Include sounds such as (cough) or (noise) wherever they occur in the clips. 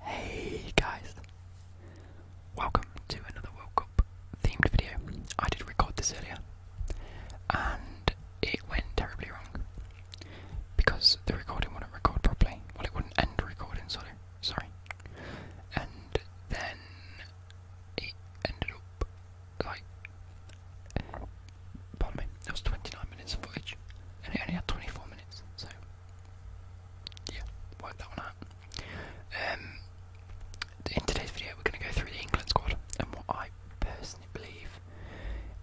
Hey guys, welcome to another World Cup themed video. I did record this earlier and it went terribly wrong because the recording wouldn't record properly. Well, it wouldn't end recording, sorry. Sorry. And then it ended up like, pardon me, there was 29 minutes of footage and it only had 24 minutes, so yeah, work that one out. Um, in today's video, we're going to go through the England squad and what I personally believe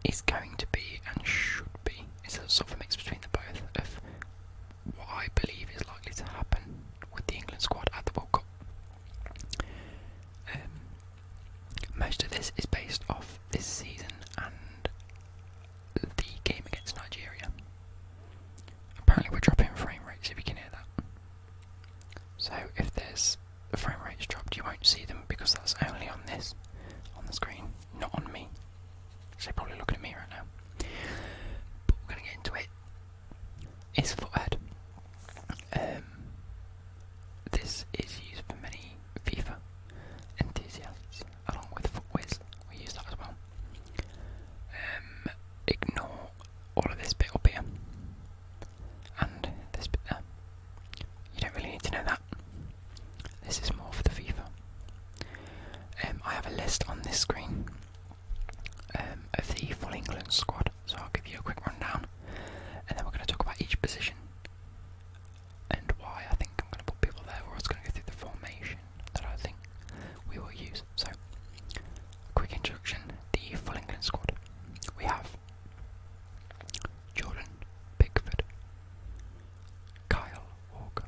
is going to be and should be. It's a sort of a mix between the both of what I believe is likely to happen with the England squad at the World Cup. Um, most of this is based off this season and the game against Nigeria. Apparently, we're dropping frame rates if you can hear that. So, if there's the frame rates dropped, you won't see them because that's only on this, on the screen, not on me. So, probably looking at me right now. But we're going to get into it. It's Foothead. Um, this is used for many FIFA enthusiasts along with footways. We use that as well. Um, ignore all of this bit up here and this bit there. You don't really need to know that. This is more for the FIFA. Um, I have a list on this screen um, of the full England squad, so I'll give you a quick rundown, and then we're going to talk about each position and why I think I'm going to put people there, or I'm going to go through the formation that I think we will use. So, quick introduction the full England squad. We have Jordan Pickford, Kyle Walker,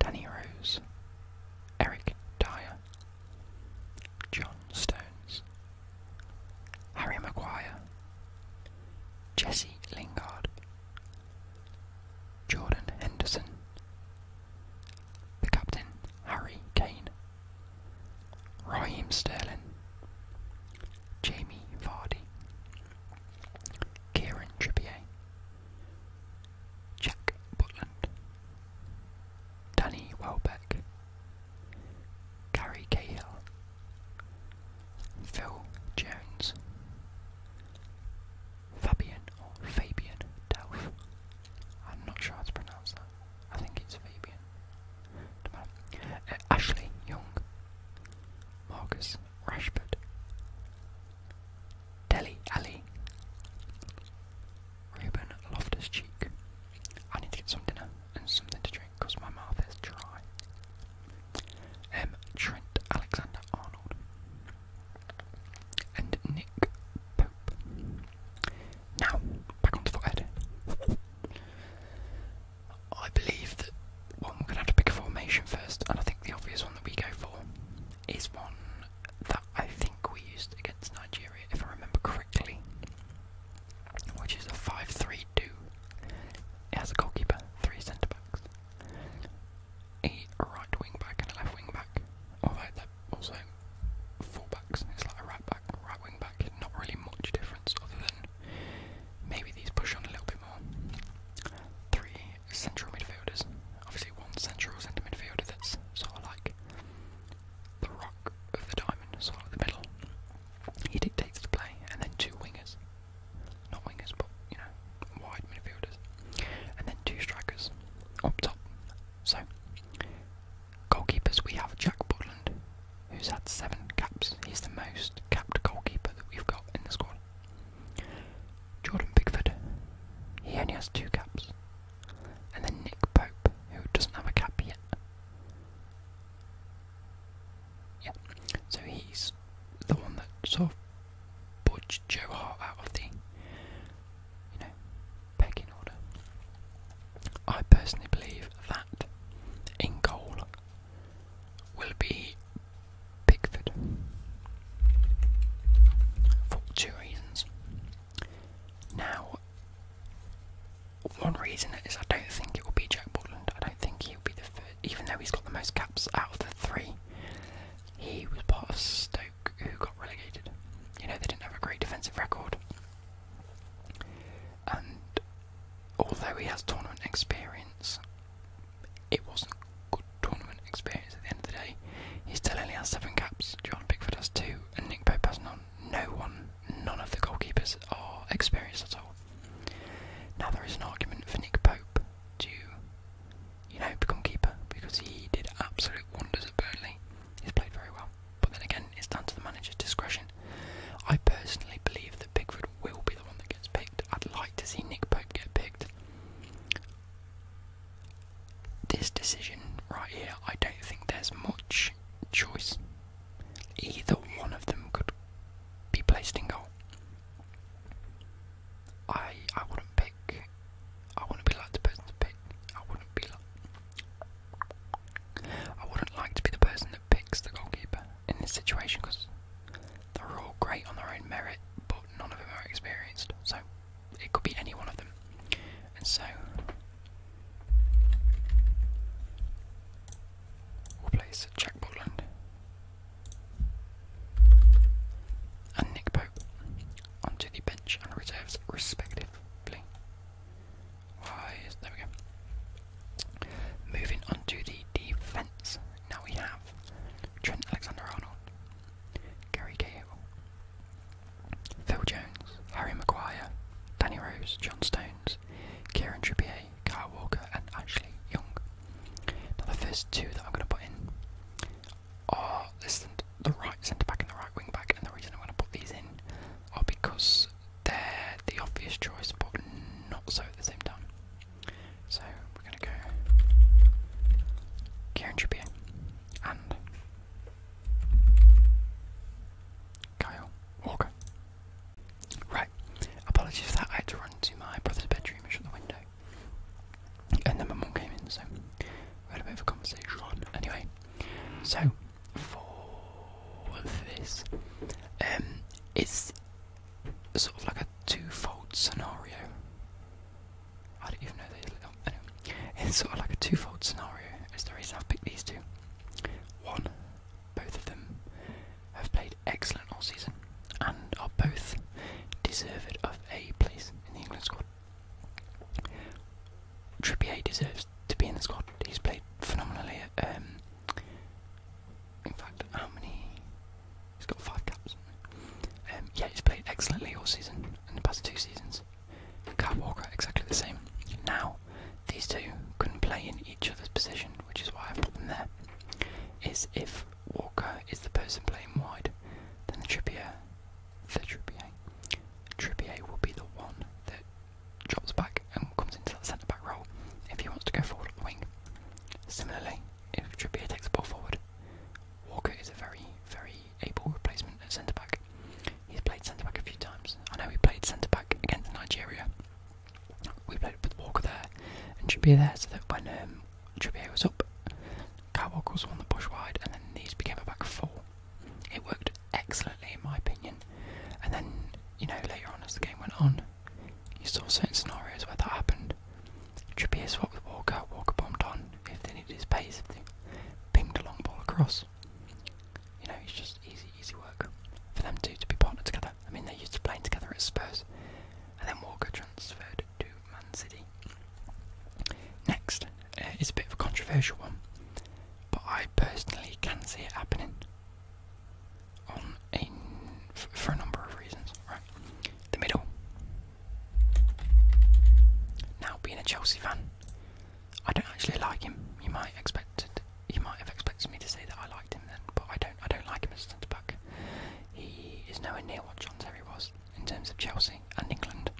Danny Rose, Eric Dyer, John Stones, Harry Maguire, Jesse Lingard, Jordan Henderson, the captain Harry Kane, Raheem Sterling, Jamie Vardy, Kieran Trippier, Jack Butland, Danny Welbeck, Gary Cahill. Phil Jones, Fabian or Fabian Delph. I'm not sure how to pronounce that. I think it's Fabian. Uh, Ashley Young, Marcus Rashford, Deli Ali, Ruben Loftus Cheek. I need to get some dinner and something to drink because my mouth is dry. Um, Trent Alexander Arnold and Nick Pope. Now, back on the forehead. I believe that we're gonna have to pick a formation first, and I think the obvious one that we go for is one that I think we used against Nigeria, if I remember correctly, which is a 5 3 32. It has a goalkeeper, three centre backs, a right wing back, and a left wing back. also full backs, it's like right back, right wing back. Not really much difference other than maybe these push on a little bit more. Three central midfielders, obviously, one central centre midfielder that's sort of like the rock of the diamond, sort of the middle. He dictates the play, and then two wingers not wingers, but you know, wide midfielders, and then two strikers up top. So, goalkeepers we have Jack Butland, who's had seven caps. He's the most capped goalkeeper that we've got in the squad. Jordan Bigford, he only has two caps, and then Nick Pope, who doesn't have a cap yet. Yeah, so he's the one that sort of budged Joe Hart out of the, you know, pecking order. I personally believe that in goal will be Pickford for two reasons. Now, one reason is I don't think it will be Jack Butland. I don't think he he even though he's got the most caps out of the three. He was part of Stoke who got relegated. You know, they didn't have a great defensive record. And although he has tournament experience, it wasn't good tournament experience at the end of the day. He still only has seven caps. John Pickford has two, and Nick Pope has none. No one, none of the goalkeepers are experienced at all. Now there is an argument for Nick Pope to, you know, become keeper because he did absolute wonders at Burnley. He's played very well, but then again, it's down to the manager's discretion. I personally believe that Pickford will be the one that gets picked. I'd like to see Nick Pope get picked. This decision right here, I don't think there's much choice. Either one of them could be placed in goal. I I wouldn't pick. I wouldn't like the person to pick. I wouldn't be I wouldn't like to be the person that picks the goalkeeper in this situation because they're all great on their own merit, but none of them are experienced. So it could be any one of them, and so replace Jack Botland and Nick Pope onto the bench and reserves respectively. there we go. Moving on to the defence. Now we have Trent Alexander Arnold, Gary Cahill, Phil Jones, Harry Maguire, Danny Rose, John Stones, Kieran Trippier, Kyle Walker, and Ashley Young. Now, the first two that I'm going to put in are this, the right centre back and the right wing back, and the reason I'm going to put these in are because they're the obvious choice, but not so at the same time. So, we're going to go Kieran Trippier and Kyle Walker. Right, apologies for that, I had to run to my brother's bedroom and shut the window. And then my mom came in, so we had a bit of a conversation. Anyway, so for this, um, it's sort of like a two-fold scenario. I don't even know they it's sort of like a two-fold scenario. Is the reason I've picked these two. One, both of them have played excellent all season and are both deserved of a place in the England squad. Trippier deserves to be in the squad. He's played phenomenally. Um, in fact, how many? He's got five caps. Um, yeah, he's played excellently all season in the past two seasons. Kyle Walker, exactly the same. Now, these two couldn't play in each other's position, which is why I put them there, is if Walker is the person playing wide, then the Trippier, Trippier, Trippier will be the one that drops back and comes into that centre back role if he wants to go forward at the wing. Similarly, if Trippier takes the ball forward, Walker is a very, very able replacement at centre back. He's played centre back a few times. I know he played centre back against Nigeria we played with Walker there and Trippier there, so that when um, Trippier was up, Kyle Walker was on the push wide, and then these became a back four. It worked excellently, in my opinion. And then, you know, later on as the game went on, you saw certain scenarios where that happened. Trippier swapped with Walker, Walker bombed on if they needed his pace, they pinged a long ball across. You know, it's just easy easy, work for them two to be partnered together. I mean, they used to play together at Spurs, and then Walker transferred to Man City. Next uh, is a bit of a controversial one, but I personally can see it happening. On a for a number of reasons, right? The middle. Now, being a Chelsea fan, I don't actually like him. You might expect it you might have expected me to say that I liked him then, but I don't. I don't like him as a centre back. He is nowhere near what John Terry was in terms of Chelsea and England.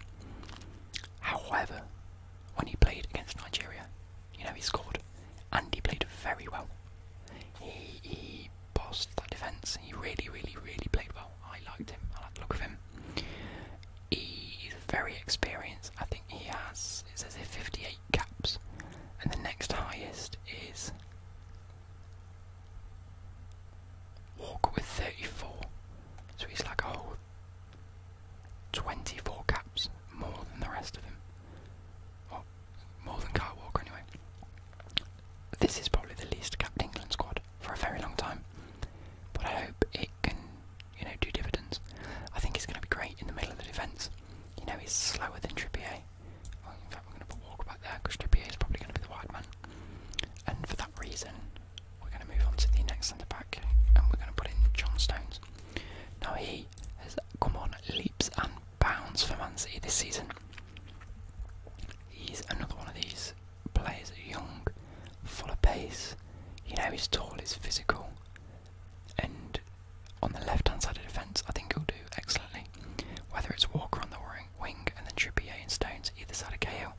However, when he played against Nigeria, you know he scored, and he played very well. He he bossed that defence. He really, really, really played well. I liked him. I liked the look of him. He's very experienced. I think he has. It says 58 caps, and the next highest is Walker with 34. So he's like a whole 24 caps more than the rest of them. Well, more than Kyle Walker anyway. This is probably the least capped England squad for a very long time, but I hope it can, you know, do dividends. I think it's going to be great in the middle of the defence. You know he's slower than Trippier. in fact, we're going to put Walker back there because Trippier is probably going to be the wide man. And for that reason, we're going to move on to the next centre back and we're going to put in John Stones. Now he has come on leaps and bounds for Man City this season. He's another one of these players, young, full of pace. You know he's tall, he's physical, and on the left hand side of defence, I think he'll do excellently. Whether it's Walker on the wing and then Trippier and Stones either side of Cahill,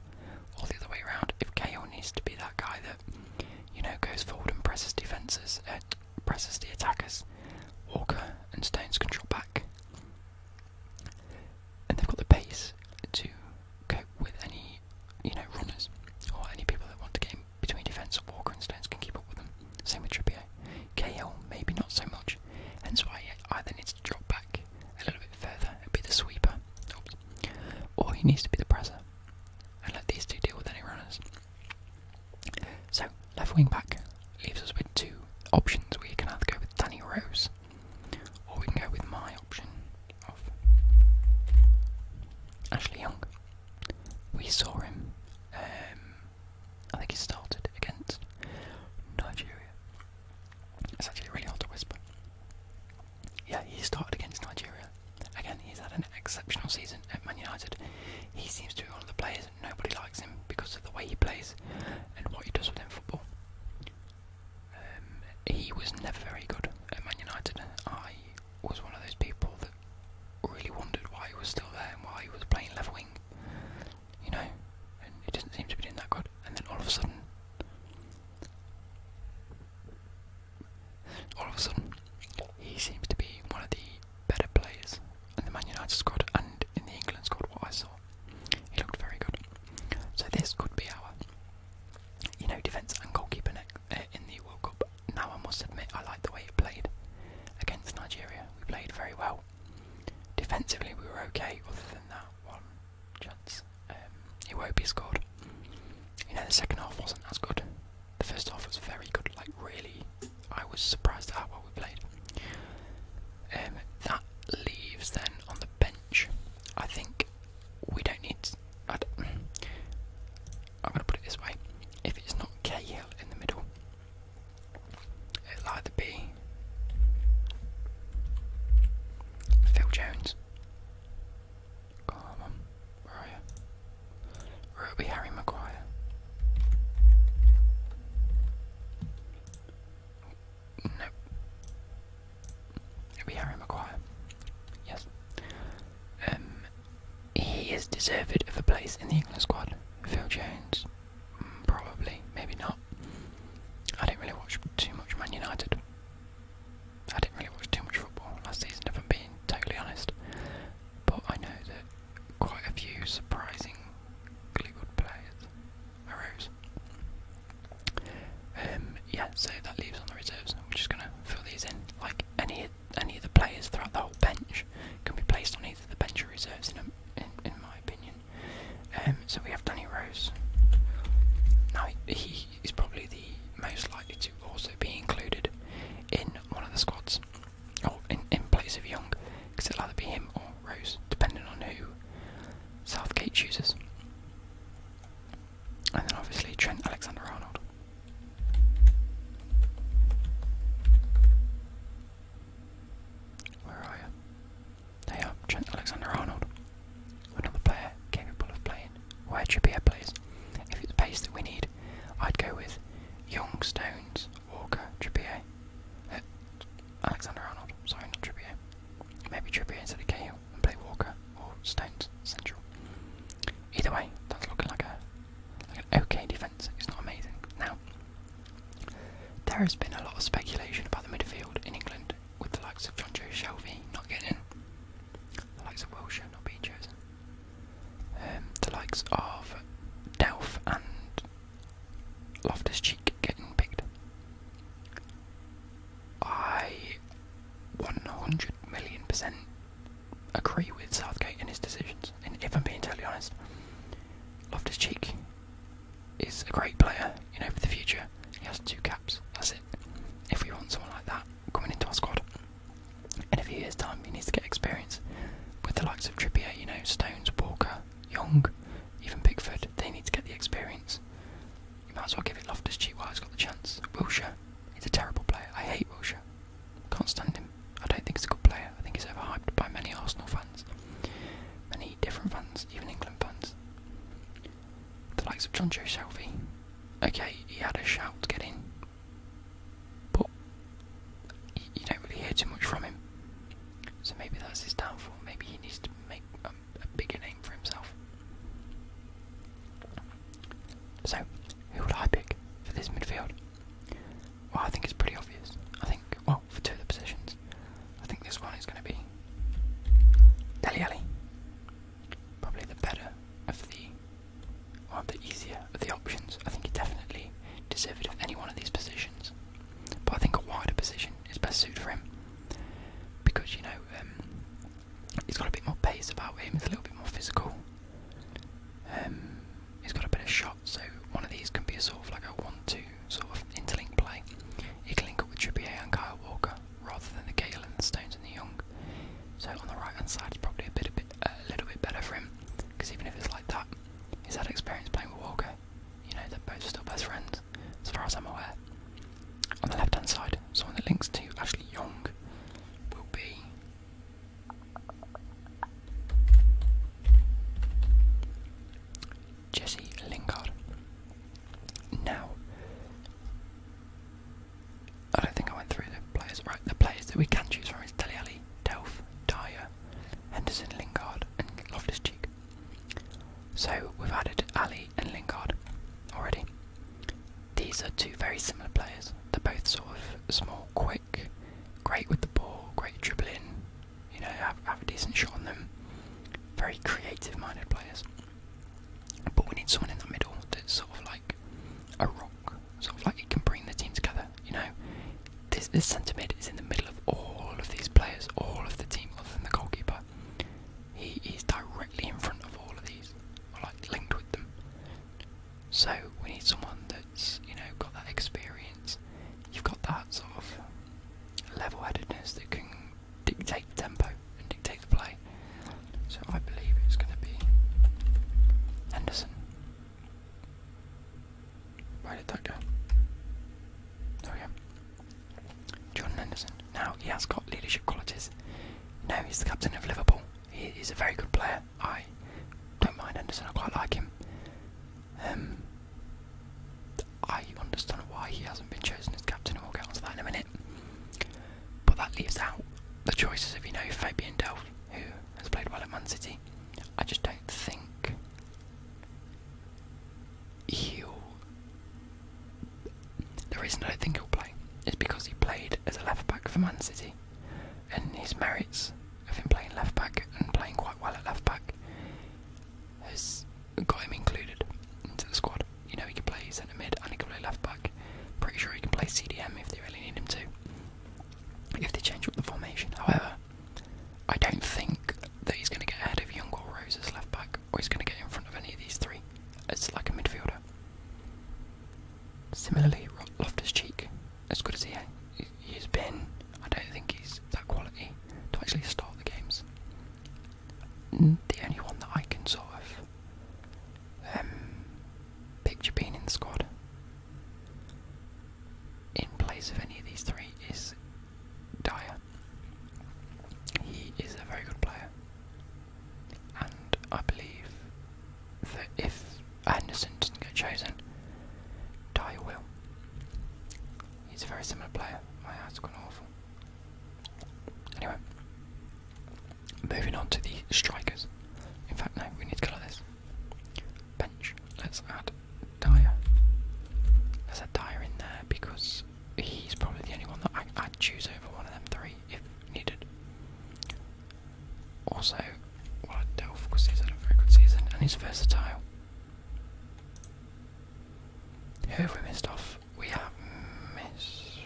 or the other way around, if Cahill needs to be that guy that, you know, goes forward and presses defences, uh, presses the attackers, Walker and Stones can drop back. And they've got the pace to cope with any, you know, runners or any people that want to get between defence, Walker and Stones can keep up with them. Same with Trippier. KL, maybe not so much. Hence why he either needs to drop back a little bit further and be the sweeper, or he needs to be the presser and let these two deal with any runners. So, left wing back leaves us with two options. We can either go with Danny Rose or we can go with my option of Ashley Young. We saw him. Um, I think he started against Nigeria. It's actually really hard to whisper. Yeah, he started against Nigeria. Again, he's had an exceptional season at Man United. He seems to be one of the players and nobody likes him because of the way he plays and what he does within football. Um, he was never very good at Man United. I was one of those people that really wondered why he was still there and why he was playing left wing. You know, and it doesn't seem to be doing that good. And then all of a sudden, all of a sudden, he seems to be one of the better players in the Man United squad and in the England squad. What I saw, he looked very good. So this could be our, you know, defence and goalkeeper uh, in the World Cup now I must admit I like the way it played against Nigeria. We played very well. Defensively, we were okay, other than that one chance. Um, it won't be scored. You know, the second half wasn't as good. The first half was very good, like, really. I was surprised at how well we played. Um, that leaves then on the bench. I think we don't need. I'm gonna put it this way: if it's not Cahill in the middle, it'll either be Phil Jones. Come where are you? Or it'll Harry Maguire. No. It'll be Harry Maguire. Yes. Um, he is deserved of a place in the England squad. Phil Jones, mm, probably, maybe not. I didn't really watch too much Man United. I didn't really watch too much football last season, if I'm being totally honest. But I know that quite a few surprisingly good players arose. Um, yeah, so that leaves on the reserves. We're just gonna fill these in like any any of the players throughout the whole bench can be placed on either the bench or reserves, in, a, in my opinion. Um, so we have Danny Rose. Now, he is probably the most likely to also be included in one of the squads, or in, in place of Young, because it'll either be him or Rose, depending on who Southgate chooses. And then obviously Trent Alexander Arnold. Where are you? There you are, Trent Alexander Arnold. Another player capable of playing where Trippier plays. If it's pace that we need, I'd go with Young, Stones, Walker, Trippier. Uh, Alexander Arnold, sorry, not Trippier. Maybe Trippier instead of Cahill and play Walker or Stones central. Either way, that's looking like a okay defence. It's not amazing. Now, there has been a lot of speculation about the midfield in England with the likes of John Joe Shelby not getting the likes of Wilshere not being chosen, um, the likes of Delph and Loftus Cheek getting picked. I 100 million percent agree with Southgate and his decisions. And if I'm being totally honest, Loftus Cheek is a great player, you know, for the future. He has two caps, that's it. If we want someone like that coming into our squad in a few years' time, he needs to get experience with the likes of Trippier, you know, Stones, Walker, Young, even Bigfoot. They need to get the experience. You might as well give it Loftus Cheek while he's got the chance. Wilshire, he's a terrible player. I hate Wilshire. Can't stand him. I don't think he's a good player. I think he's overhyped by many Arsenal fans, many different fans, even England fans. The likes of John Joe Shelby. Okay, he had a shout get in, but you don't really hear too much from him. So maybe that's his downfall. Maybe he needs to make um, a bigger name for himself. So, who would I pick for this midfield? Well, I think it's pretty obvious. I think, well, for two of the positions, I think this one is going to be Deli Ali. Probably the better of the, or well, the easier of the options. I think he definitely deserved of any one of these positions. But I think a wider position is best suited for him. Because, you know, um, he's got a bit more pace about him, he's a little bit more physical he's um, got a bit of shot, so one of these can be a sort of like a one-two sort of interlink play. He can link up with Trippier and Kyle Walker rather than the Gale and the Stones and the Young. So on the right-hand side, it's probably a bit, a little bit better for him, because even if it's like that, he's had experience playing with Walker. You know, they're both still best friends, as far as I'm aware. On the left-hand side, someone that links to Ashley Young will be Jesse Lingard. Now, I don't think I went through the players. Right, the players that we can choose from is Deli Ali, Delph, Dyer, Henderson, Lingard, and Loftus Cheek. So we've added Ali and Lingard already. These are two very similar players. They're both sort of small, quick, great with the ball, great dribbling, you know, have, have a decent shot on them. Very creative minded players. But we need someone in the middle that's sort of like a rock, sort of like it can bring the team together, you know. This, this centre mid is in the middle of all of these players, all of the team other than the goalkeeper. He is directly in front of all of these, or like linked with them. So we need someone that's, you know, got that experience. You've got that sort of level headedness that can dictate the tempo and dictate the play. So I believe it's gonna be Henderson. Where did that go? There we go. Henderson. Now he has got leadership qualities. No, he's the captain of Liverpool. He's a very good player. I don't mind Anderson. I quite like him. Um, I understand why he hasn't been chosen as captain, and we'll get onto that in a minute. But that leaves out the choices of you know Fabian Delph, who has played well at Man City. I just don't think he'll. The reason I don't think he'll play is because he played as a left back for Man City and his merits of him playing left back and playing quite well at left back has got him included into the squad. You know, he can play centre mid and he can play left back. Pretty sure he can play CDM if they really need him to. If they change up the formation, however, I don't think that he's going to get ahead of Young or Rose as left back, or he's going to get in front of any of these three as like a midfielder. Similarly, Loftus Cheek, as good as he he's been, I don't think he's that quality to actually start the games. The only one that I can sort of um, picture being in the squad in place of any of these three is Dyer. He is a very good player and I believe that if Anderson doesn't get chosen, Dyer will. He's a very similar player. My eyes gone awful. Anyway, moving on to the strikers. In fact, no, we need to go like this. Bench. Let's add Dyer. There's a Dyer in there because he's probably the only one that I'd choose over one of them three if needed. Also, what a delf because a very good season and he's versatile. Who have we missed off? We have Miss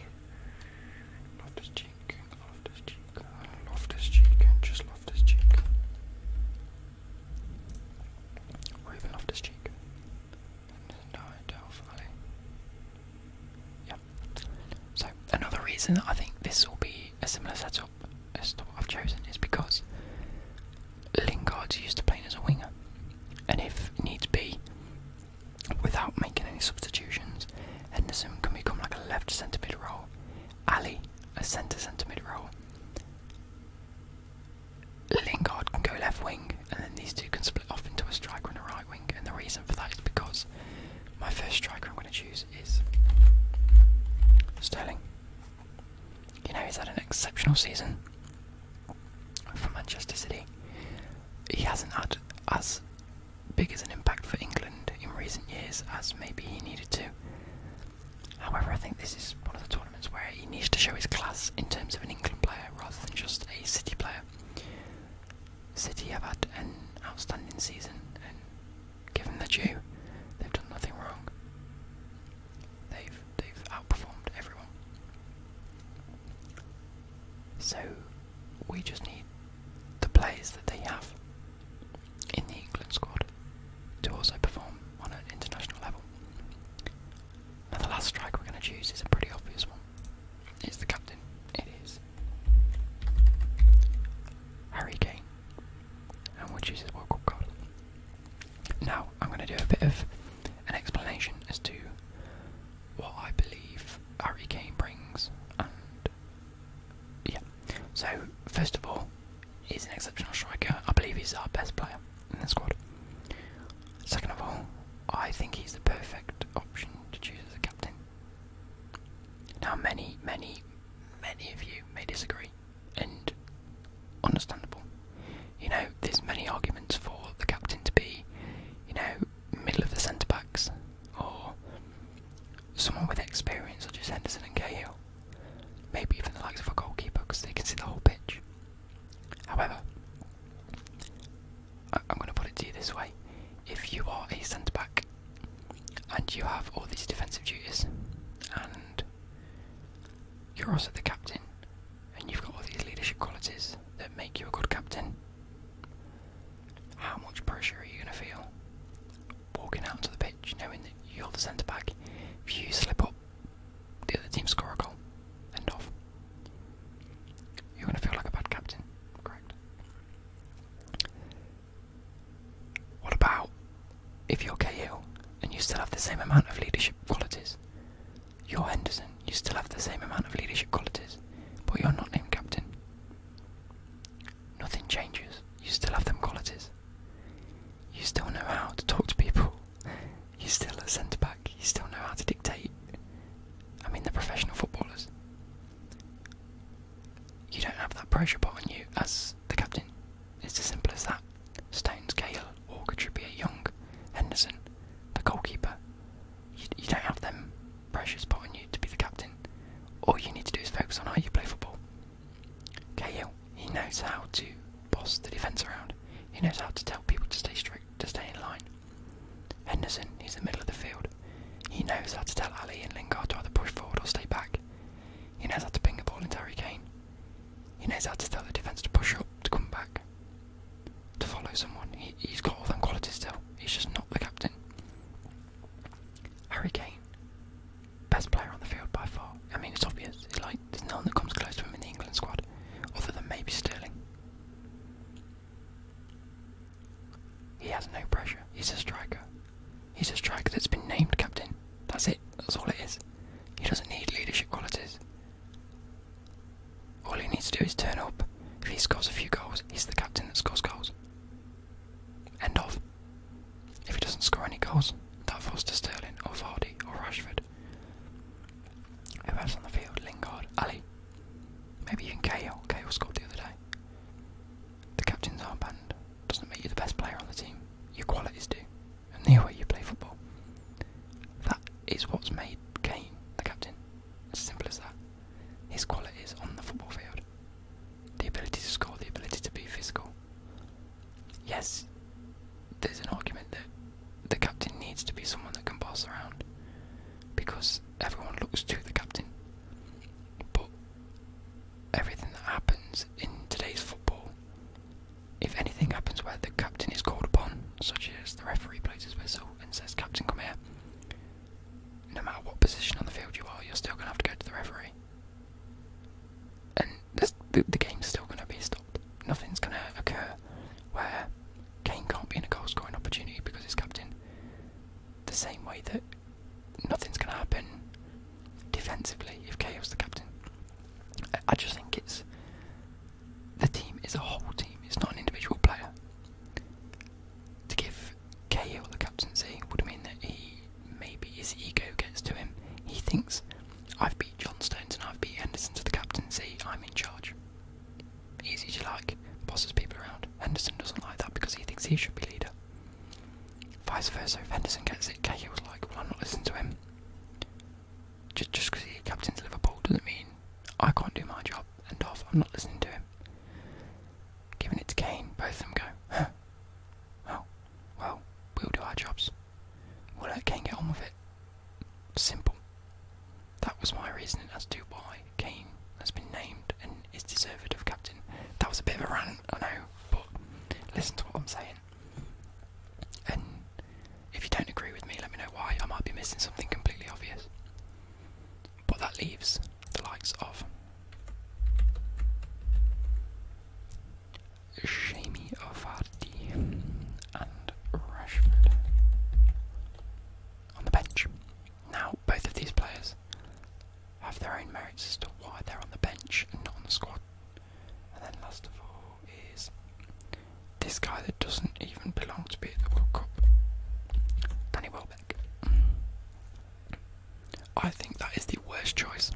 Loftus Cheek, Loftus Cheek, Loftus Cheek, just Loftus Cheek. Or even Loftus Cheek. No, Delph so another reason I think this will be a similar setup as to I've chosen is because Lingard's used to play as a winger, and if needs be, without making any substitutions, Henderson can become like a left centre mid role, Ali a centre centre mid role. Lingard can go left wing, and then these two can split off into a striker and a right wing. And the reason for that is because my first striker I'm going to choose is Sterling. You know, he's had an exceptional season for Manchester City. He hasn't had as big as an impact for England in recent years as maybe he needed to. However, I think this is one of the tournaments where he needs to show his class in terms of an England player rather than just a City player. City have had an outstanding season, and given the due, they've done nothing wrong. They've they've outperformed everyone. So we just need the players that they have in the England squad to also perform on an international level. Now the last strike we're going to choose is a pretty obvious one. It's the captain. It is. Harry Kane. And we'll choose his World Cup Now, I'm going to do a bit of an explanation as to what I believe Harry Kane brings. And yeah. So, first of all, he's an exceptional striker. I believe he's our best player in the squad. Second of all, I think he's the perfect option to choose as a captain. Now, many, many, many of you may disagree, and understandable. You know, there's many arguments for the captain to be, you know, middle of the centre backs, or someone with experience such as Henderson and Cahill. Maybe even the likes of a goalkeeper because they can see the whole pitch. However, I am going to put it to you this way if you are a centre back and you have all these defensive duties and you're also the captain and you've got all these leadership qualities that make you a good captain, how much pressure are you going to feel walking out onto the pitch knowing that you're the centre back? If you slip up, the other team score a goal, and off. You're going to feel like a bad captain, correct? What about if you're KO and you still have the same amount of leadership qualities? You're Henderson, you still have the same amount of leadership qualities, but you're not named captain. Nothing changes, you still have them qualities. You still know how to talk to people, you're still a centre back, you still know how to dictate. I mean, the professional footballers. You don't have that pressure put on you as the captain. It's as simple as that. Stones, Gale, Walker, Trippier, Young, Henderson, the goalkeeper. You, don't have them pressure put on you to be the captain. All you need to do is focus on how you play football. Gale, he knows how to boss the defence around. He knows how to tell people to stay strict, to stay in line. Henderson, he's the middle of the field. He knows how to tell Ali and Lingard to either push forward or stay back. He knows how to ping a ball into Harry Kane. He knows how to tell the defence to push up, to come back, to follow someone. He, has got all those qualities still. He's just not the captain. Harry Kane, best player on the field by far. I mean, it's obvious. It's like there's no one that comes close to him in the England squad, other than maybe Sterling. He has no pressure. He's a striker. He's a striker that's been named captain. That's it. That's all it is. He doesn't need leadership qualities. All he needs to do is turn up. If he scores a few goals, he's the captain that scores goals. End of. If he doesn't score any goals, that falls Sterling or Vardy or Rashford. Who else on the field? Lingard, Ali. Maybe even K. Kale scored the other day. The captain's arm band doesn't make you the best player on the team. Your qualities do, and the way you play football. That is what's made Kane the captain. as simple as that. His qualities on the football field. The ability to score, the ability to be physical. Yes, there's an argument that the captain needs to be someone that can boss around because everyone looks to the captain. But everything that happens in today's football, if anything happens where the captain is called upon, such as the referee plays his whistle and says, Captain, come here, no matter what position on the field you are, you're still going to have to go to the referee. And the, the game's still going to be stopped. Nothing's going to occur where Kane can't be in a goal scoring opportunity because he's captain. The same way that nothing's going to happen defensively if KO's the captain. I just think it's the team is a whole team, it's not an individual player. To give KO the captaincy would mean that he maybe his ego gets to him. He thinks, I've beat John Stones and I've beat Henderson to the captaincy, I'm in charge easy to like, bosses people around. Henderson doesn't like that because he thinks he should be leader. Vice versa, if Henderson gets it, Cahill will like, well, I'm not listening to him. Just because he captains Liverpool doesn't mean I can't do my job, and off, I'm not listening to him. Giving it to Kane, both of them go, huh? well, we'll do our jobs. We'll let Kane get on with it. Simple. That was my reasoning as to why Kane has been named and is deserved of captain. That was a bit of a rant, I know, but listen to what I'm saying. And if you don't agree with me, let me know why. I might be missing something completely obvious. But that leaves the likes of Jamie Vardy and Rashford on the bench. Now, both of these players have their own merits as to why they're on the bench and not on the squad. And then last of all is this guy that doesn't even belong to be at the World Cup, Danny Welbeck. I think that is the worst choice.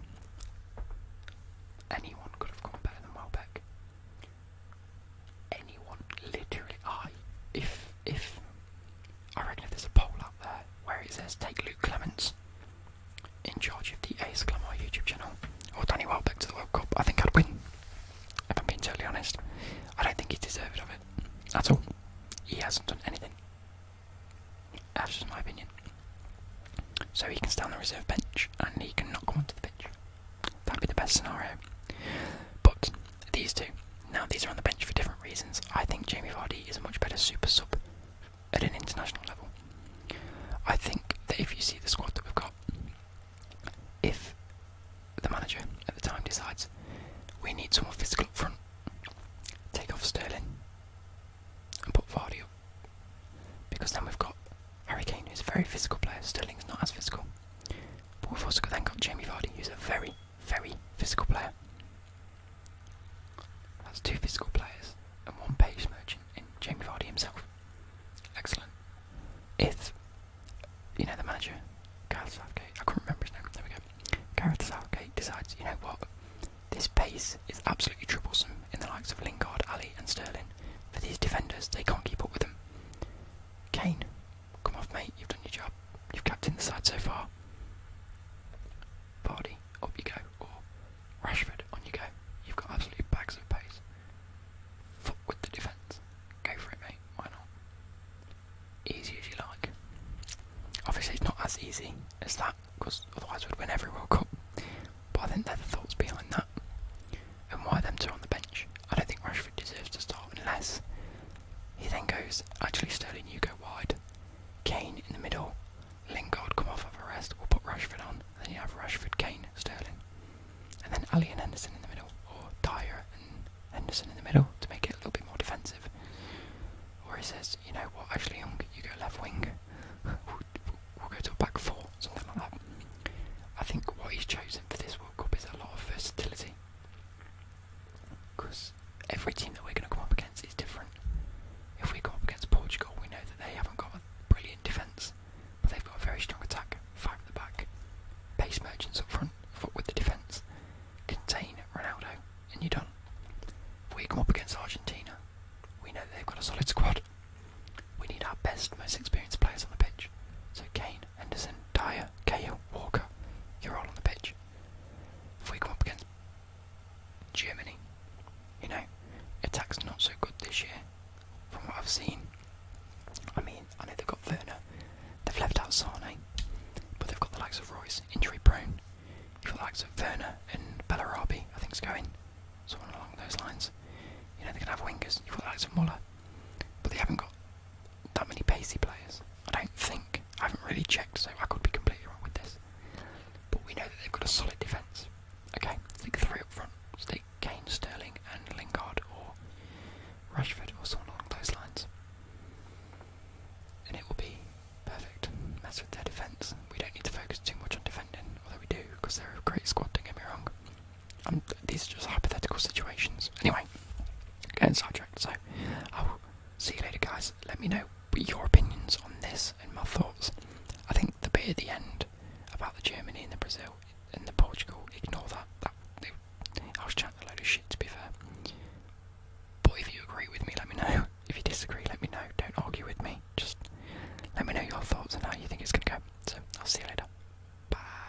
Anyone could have gone better than Welbeck anyone, literally, I, if, if, I reckon if there's a poll out there where it says take Luke Clements in charge of the Ace Glamour YouTube channel, or Danny Welbeck to the World Cup, I think I'd win. If I'm being totally honest, I don't think he's deserved of it at all. He hasn't done anything. That's just my opinion. So he can stand on the reserve bench and he can not come onto the pitch. That'd be the best scenario. But these two, now these are on the bench for different reasons. I think Jamie Vardy is a much better super sub at an international level. I think that if you see the squad that we've got, if the manager at the time decides we need some more physical up front, take off Sterling and put Vardy up. Because then we've got Harry Kane, who's a very physical player. Sterling's not as physical. But we've also then got Jamie Vardy, who's a very, very physical player. That's two physical players and one pace merchant in Jamie Vardy himself. Excellent. If you know the manager, Gareth Southgate, I couldn't remember his name, there we go. Gareth Southgate decides, you know what, this pace is absolutely troublesome in the likes of Lingard, Ali and Sterling. For these defenders, they can't keep up with them. Kane Come off, mate. You've done your job. You've captained the side so far. Vardy, up you go. Or Rashford, on you go. You've got absolute bags of pace. Foot with the defence. Go for it, mate. Why not? Easy as you like. Obviously, it's not as easy as that, because otherwise we'd win every World Cup. But I think they're the thoughts behind that. And why them two on the bench? I don't think Rashford deserves to start unless he then goes, actually Sterling, you go wide. Kane in the middle. Lingard come off of a rest. We'll put Rashford on. then you have Rashford, Kane, Sterling. And then Ali and Henderson in the middle. Or Dyer and Henderson in the middle to make it a little bit more defensive. Or he says, you know what, actually Young, you go left wing. (laughs) we'll go to a back four, something like that. I think what he's chosen for this World Cup is a lot of versatility. Because every team that we're going to come up against is different. If we come up against Portugal, we know that they haven't got a brilliant defence, but they've got a very strong attack, five at the back, pace merchants up front, foot with the defence, contain Ronaldo, and you're done. If we come up against Argentina, we know they've got a solid squad. We need our best, most experienced players on the pitch. So Kane, Henderson, Dyer, Cahill, Walker. You're all on the pitch. If we come up against Germany, you know, attack's not so good this year, from what I've seen. I mean, I know they've got Werner, they've left out Sane, but they've got the likes of Royce, injury prone. You've got the likes of Werner and Bellarabi, I think it's going. Someone along those lines. You know, they can have wingers. You've got the likes of Muller, but they haven't got that many pacey players. I don't think. I haven't really checked, so I could be completely wrong with this. But we know that they've got a solid defence. Okay, stick three up front. Stick Kane, Sterling, and Lingard, or Rashford, or someone along those lines. And it will be perfect. Mess with their defence. We don't need to focus too much on defending, although we do, because they're a great squad, don't get me wrong. Um, these are just hypothetical situations. Anyway, getting sidetracked. So, I will see you later, guys. Let me know your opinions on this and my thoughts. I think the bit at the end about the Germany and the Brazil and the Portugal, ignore that. that I was chatting a load of shit, to be fair. But if you agree with me, let me know. (laughs) If you disagree, let me know. Don't argue with me. Just let me know your thoughts and how you think it's going to go. So, I'll see you later. Bye.